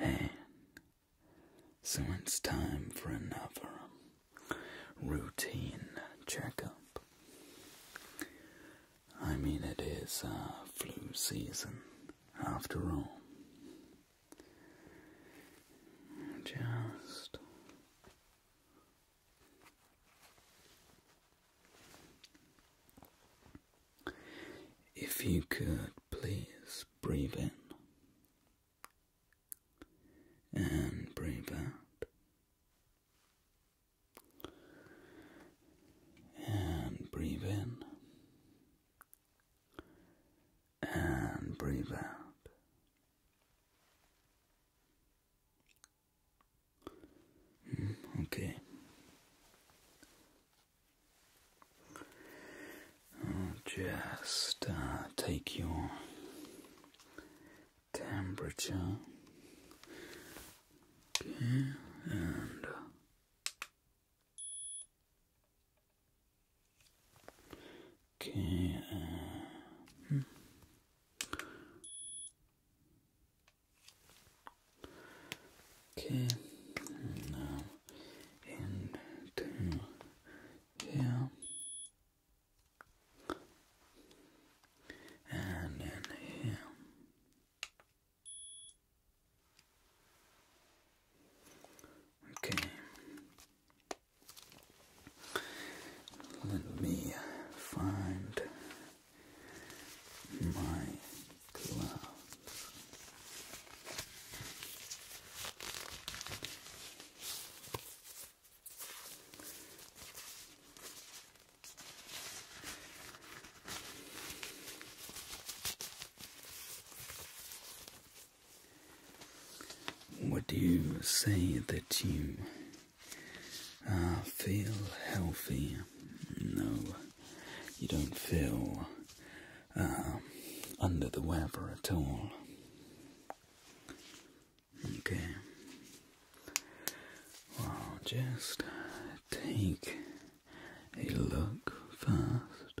And so it's time for another routine checkup. I mean, it is uh, flu season after all. Just if you could please breathe in and breathe out and breathe in and breathe out. Hmm, okay just uh, take your temperature, okay, okay. Uh, hmm. Okay, now into and in Okay, let me find my gloves. Would you say that you uh, feel healthy. No, you don't feel um, under the weather at all. Okay. Well, just take a look first.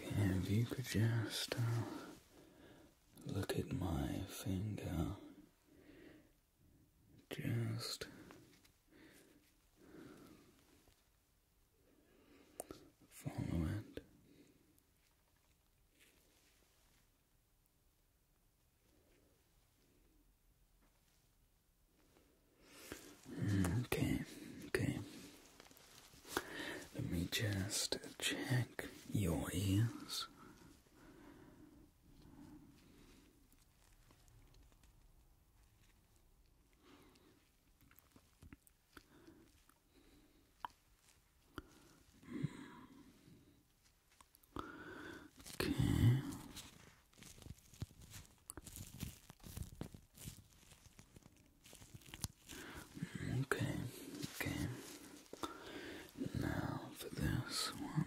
Okay, if you could just uh, look at my finger, just follow it. Hmm, okay, okay. Let me just check your ears. Okay. Okay, okay. Now for this one.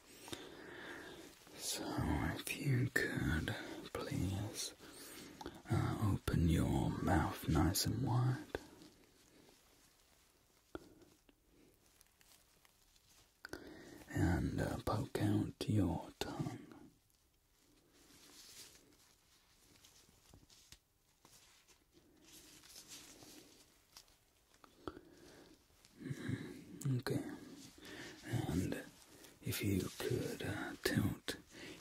So, if you could please uh, open your mouth nice and wide. And uh, poke out your tongue. Mm-hmm. Okay. And if you could uh, tilt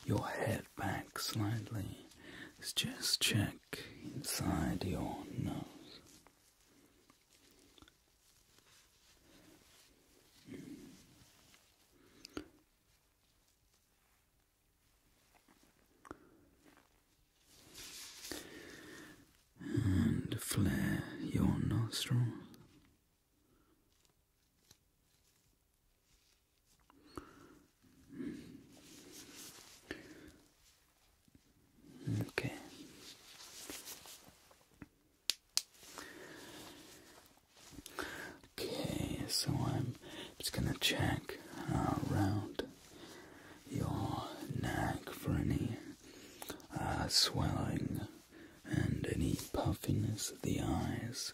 your head back slightly, let's just check inside your nose and flare your nostrils. Okay. Okay, so I'm just gonna check around your neck for any uh, swelling and any puffiness of the eyes,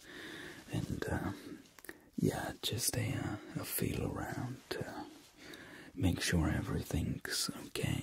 and um, yeah, just uh, a feel around to make sure everything's okay.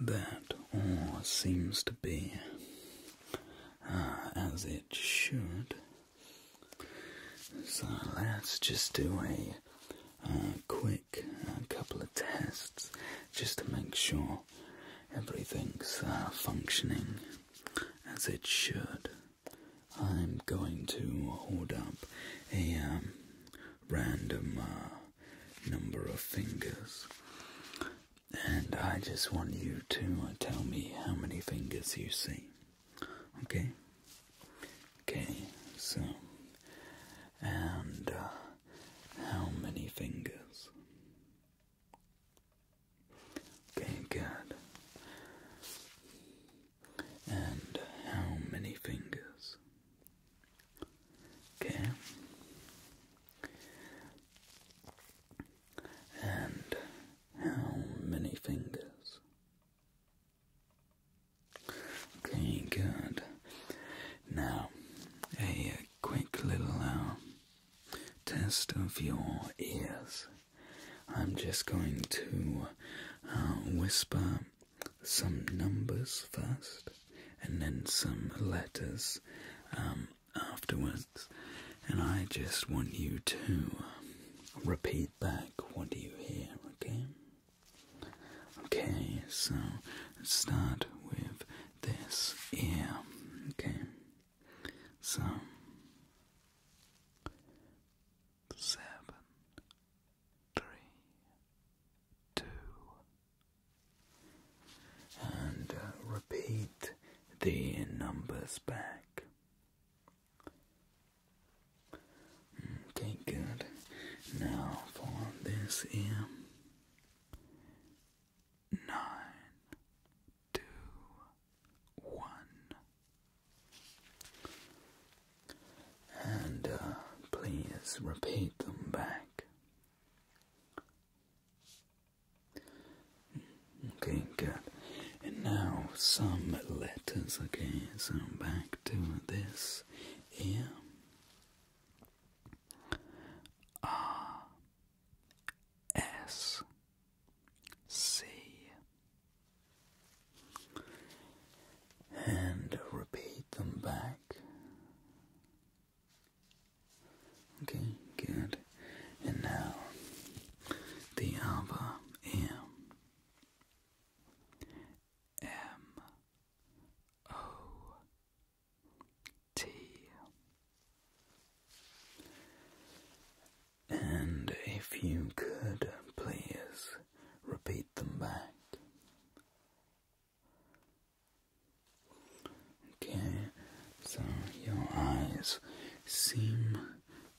that all seems to be uh, as it should. So let's just do a uh, quick uh, couple of tests just to make sure everything's functioning as it should. I'm going to hold up a um, random number of fingers and I just want you to uh, tell me how many fingers you see. Okay? Okay, so. And uh, how many fingers? Okay, good. And how many fingers? Okay. And how many fingers? Okay, good. Now, a quick little uh, test of your ears. I'm just going to uh, whisper some numbers first, and then some letters um, afterwards, and I just want you to um, repeat back what you hear, okay? Okay, so start with this ear, okay? So, seven, three, two, and uh, repeat the numbers back. Okay, good. Now for this M Nine, two, one. And uh, please repeat them back. Okay, good. And now some letters, okay, so back to this here. R S C and repeat them back Okay, good. And now the other ear. M O T. And if you could please repeat them back Okay, so your eyes seem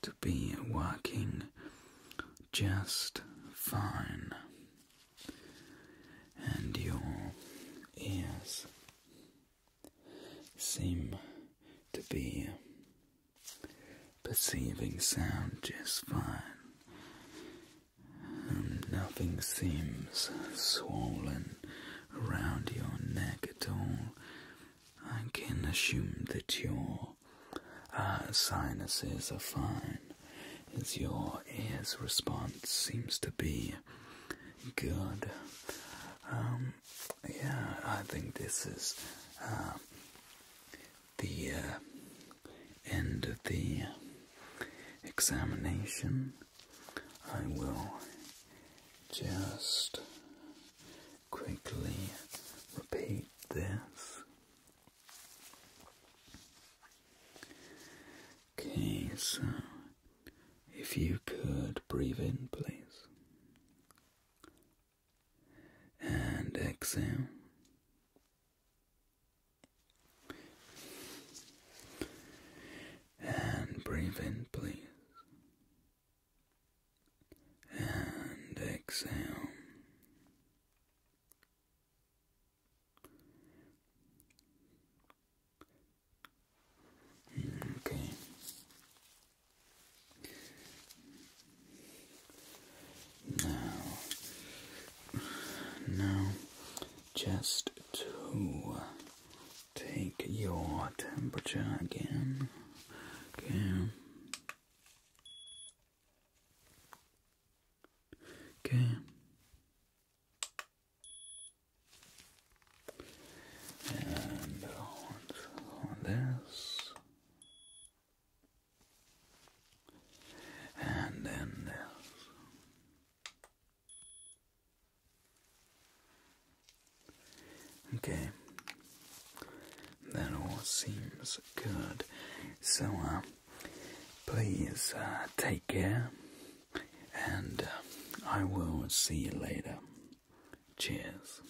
to be working just fine, and your ears seem to be perceiving sound just fine nothing seems swollen around your neck at all. I can assume that your uh, sinuses are fine, as your ears response seems to be good. Um, yeah, I think this is uh, the uh, end of the examination, I will just quickly repeat this. Okay, so if you could breathe in, please, and exhale. And breathe in, please. And exhale. Okay. Now, now, just to take your temperature again. Okay. Okay. And this, and then there's Okay, that all seems good. So, uh, please uh, take care, and uh, I will see you later. Cheers.